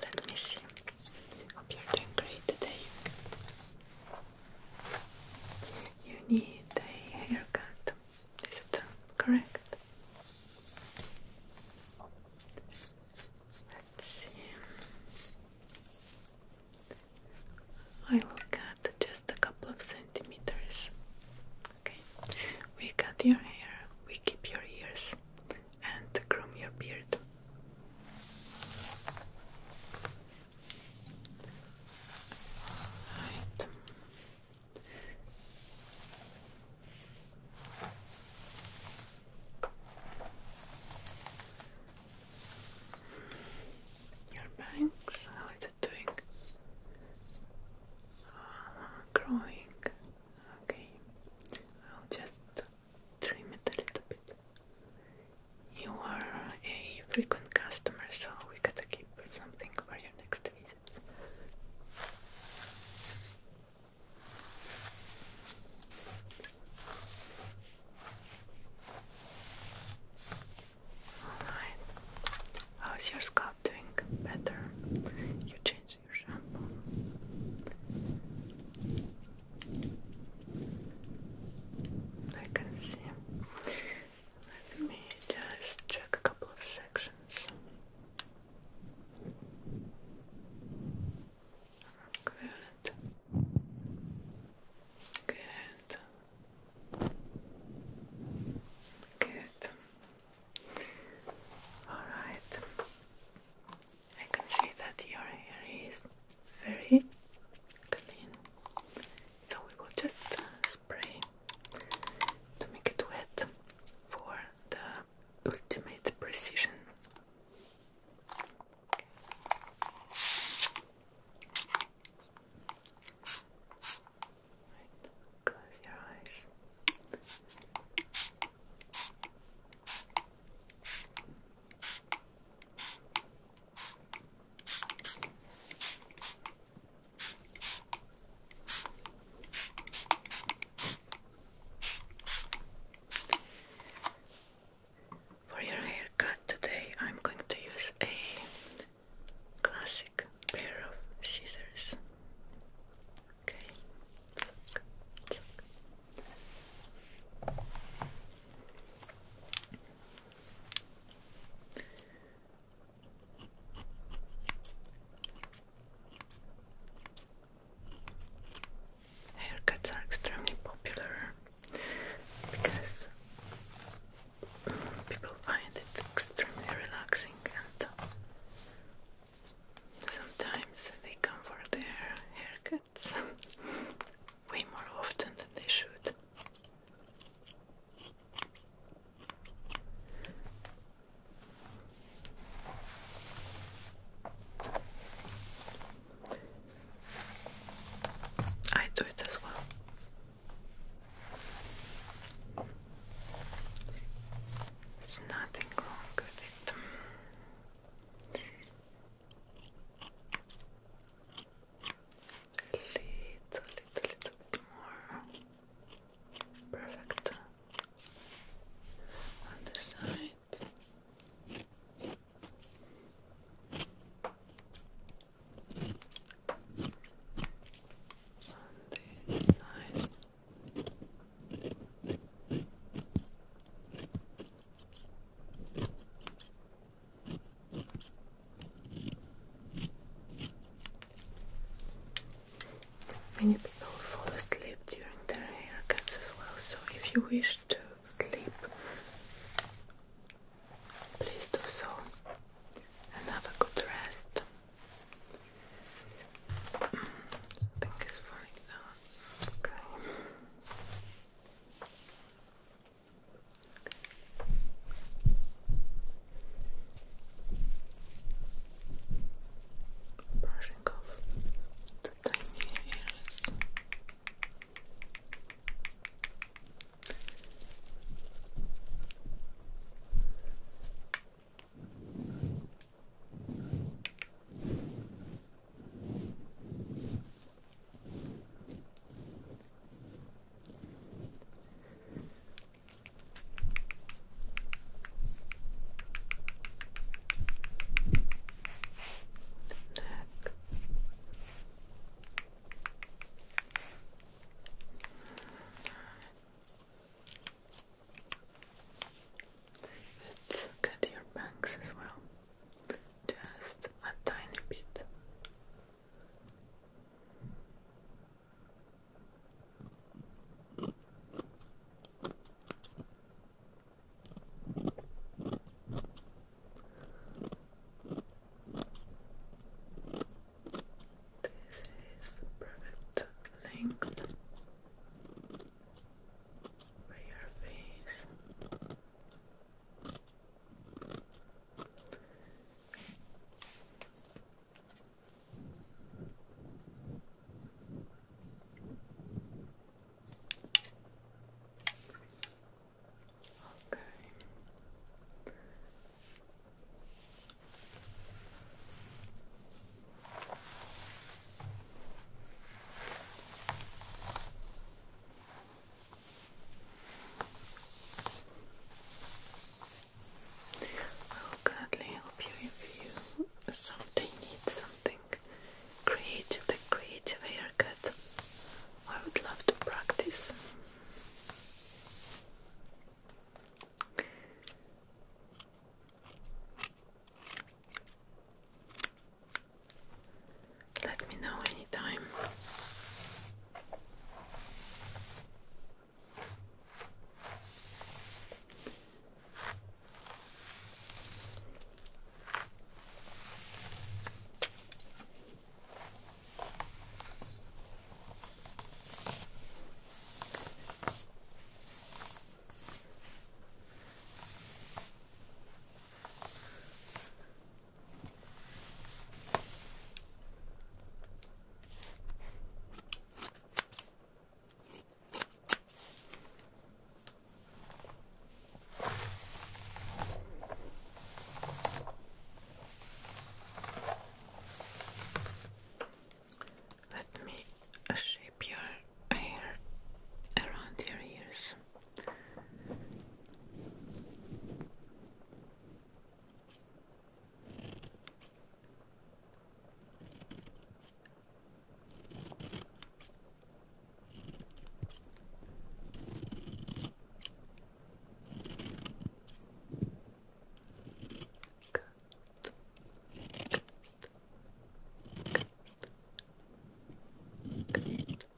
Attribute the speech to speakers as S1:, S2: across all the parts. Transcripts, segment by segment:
S1: Let me see. Hope you're doing great today. You need a haircut. Is it uh, correct? Let's see. I will cut just a couple of centimeters. Okay, we cut your hair, we keep your ears, and groom your beard. Your bangs, how is doing? Uh, growing. Okay, I'll just trim a little bit. You are a frequent customer, so we gotta keep something for your next visit. Alright, how's your scalp doing? Better? You changed I can see. Let me just check a couple of sections. Good. Good. Good. All right. I can see that your hair is very clean. So we will just uh, spray to make it wet for the ultimate precision. Close your eyes. For your haircut today, I'm going to use a classic pair of scissors. Haircuts are extremely popular because people find it extremely relaxing and sometimes they come for their haircut way more often than they should. I do it as well. There's nothing wrong with it. Little, little, little bit more. Perfect. On the side. On this side. Many people fall asleep during their haircuts as well, so if you wish to sleep, please do so and have a good rest. Mm, something is falling down. Okay. Brushing off the tiny hairs. The neck. Let's look at your bangs as well just a tiny bit. This is the perfect over your face. Okay. I'll gladly help you if you someday need something creative, the creative haircut. I would love to practice. Let me know anytime. Let me shape your hair around your ears.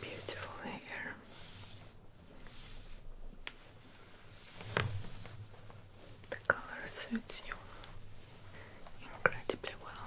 S1: Beautiful hair. The color suits you incredibly well.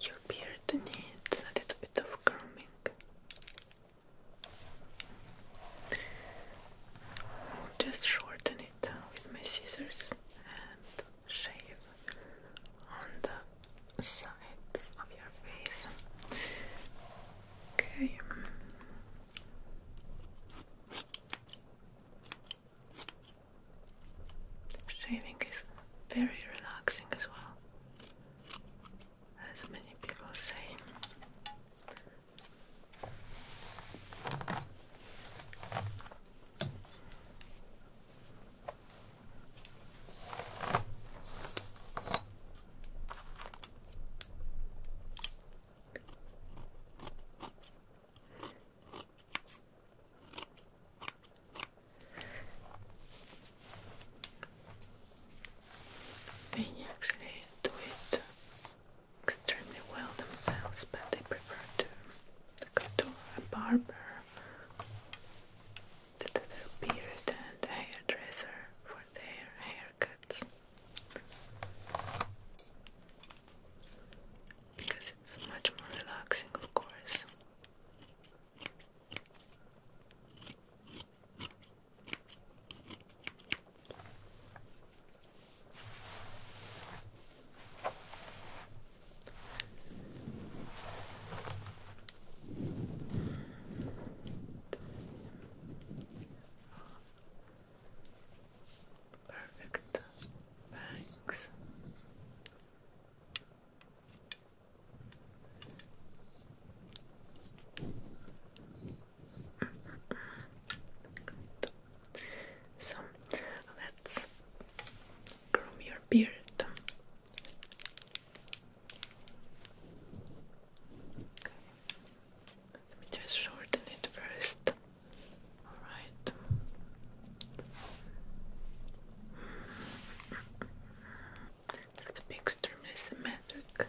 S1: Your beard needs a little bit of grooming. just shorten it with my scissors and shave on the sides of your face. Okay. Shaving is very relaxing as well, as many people say. They actually do it extremely well themselves, but they prefer to go to a barber, to beard and hairdresser for their haircuts. Because it's much more relaxing, of course. Perfect. Thanks. So let's groom your beard. Let me just shorten it first. All right. It's to be extremely symmetric.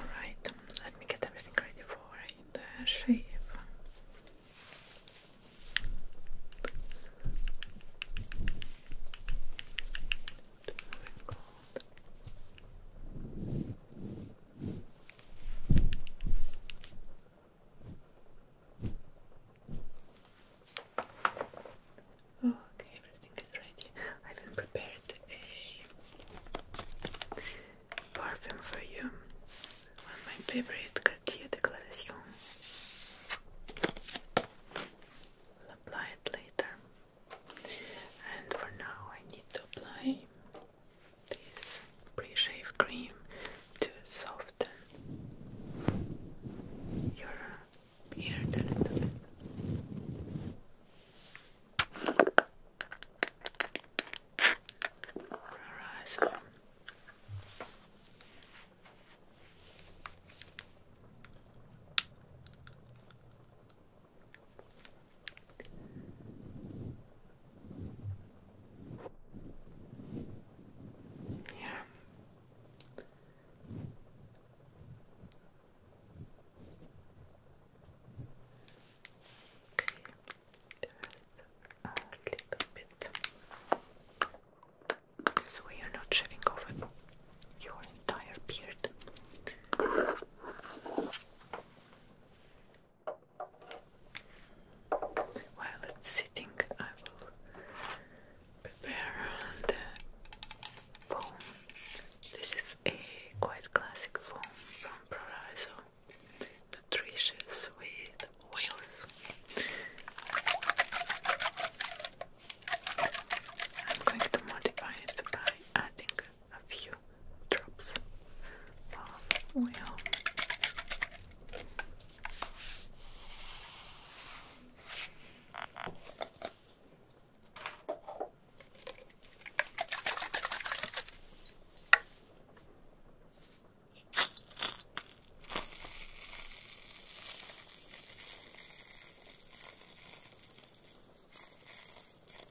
S1: Alright, let me get everything ready for the shape. Oh, okay, everything is ready. I've prepared a perfume for you. One of my favorite Cartier Declaration. apply it later. And for now, I need to apply this pre-shave cream to soften your beard a little bit. Alright, yeah. Just a little bit. So we are not shaving off your entire beard. While it's sitting, I will prepare the foam. This is a quite classic foam from Prorazo. Nutritious with oils. I'm going to modify it by adding a few drops of um, oil. Okay.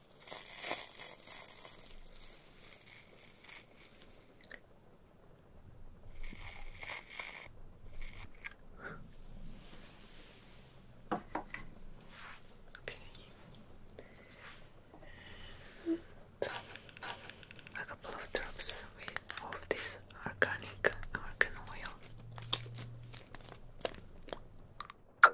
S1: A couple of drops of this organic argan oil.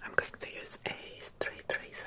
S1: I'm going to use a straight razor.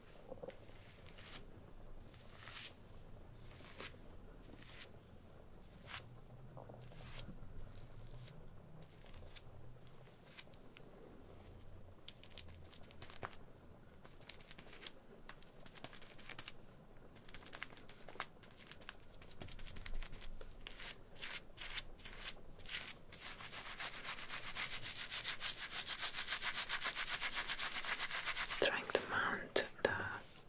S1: Trying to and the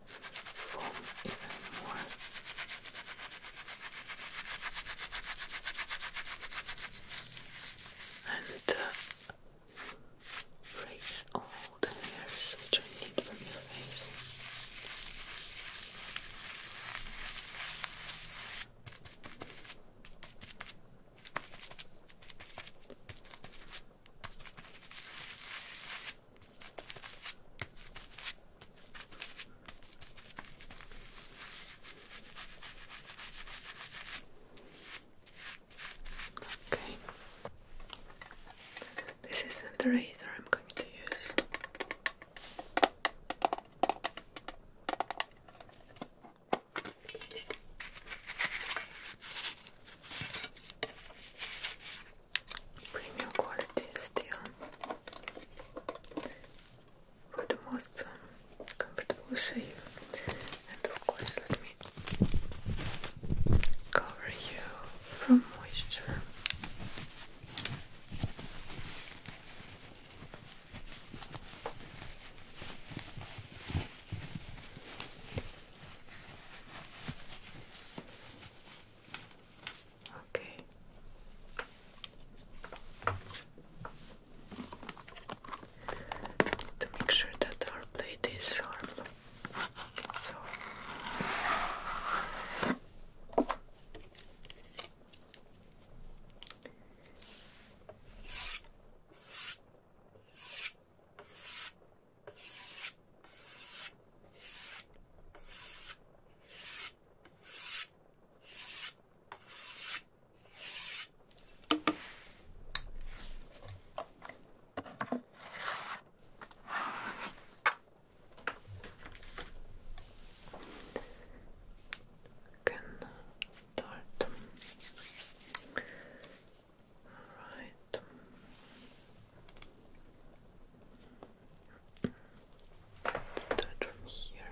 S1: foam even more. And uh, raise all the hairs which I need from your face. Okay. This isn't the razor I'm going to use. Premium quality steel for the most um, comfortable shape, and of course, let cover you from moisture. Okay. To make sure that our blade is sharp. So can start all right. That from here.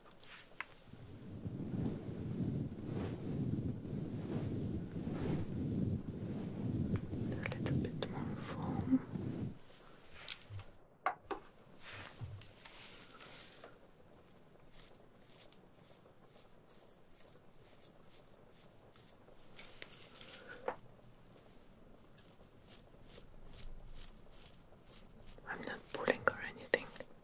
S1: A little bit more foam. I'm not pulling or anything.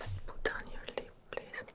S1: Just put on your lip, please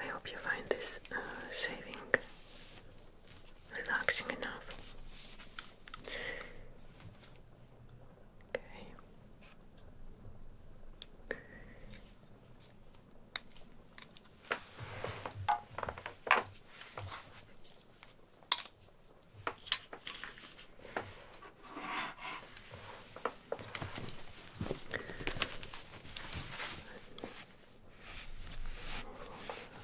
S1: I hope you find this uh, shaving relaxing enough. Okay.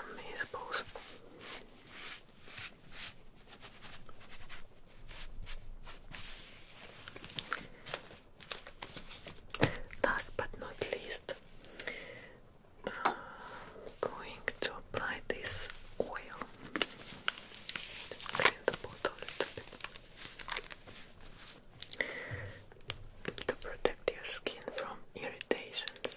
S1: Amazeballs. Last but not least, uh, going to apply this oil to protect your skin from irritations.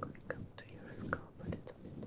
S1: Going up to your scalp a little bit.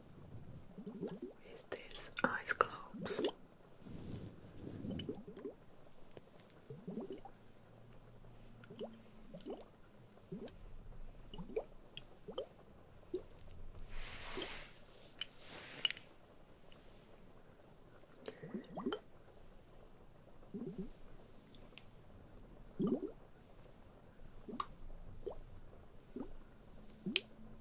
S1: with this ice globes.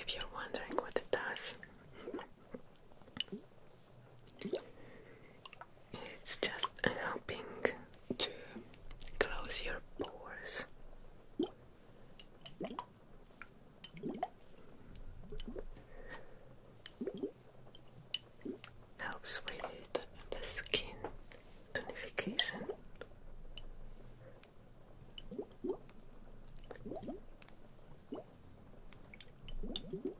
S1: If you're wondering what it does, it's just helping to close your pores. Helps with the skin tonification. And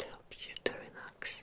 S1: help you to relax.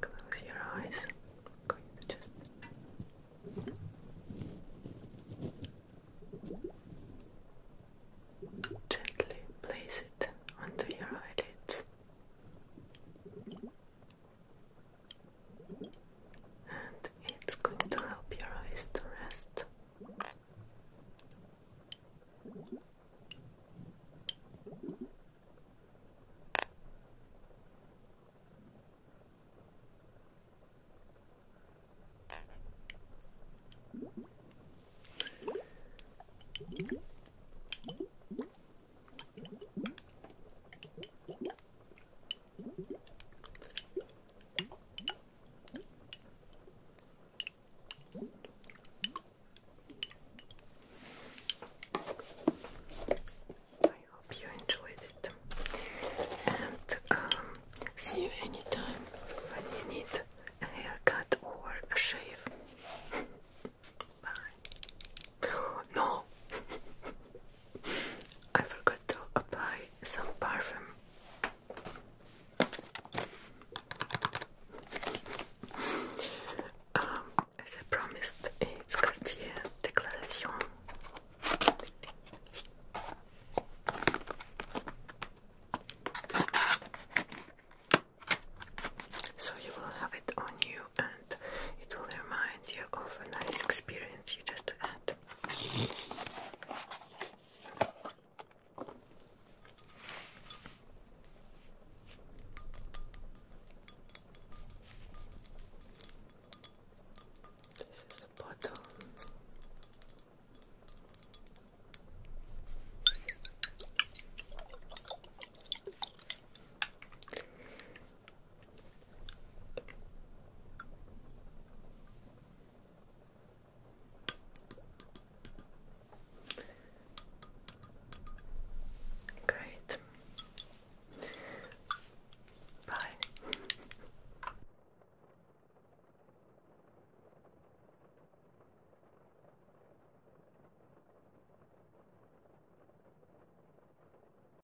S1: Close your eyes. Gently place it onto your eyelids and it's good to help your eyes to rest. I hope you enjoyed it and um, see you anytime when you need a haircut or a shave. Bye. No! I forgot to apply some parfum. Um, as I promised, it's Cartier Declaration. So you will have it on you and it will remind you of a nice experience you just had. This is a bottle. Great. Bye.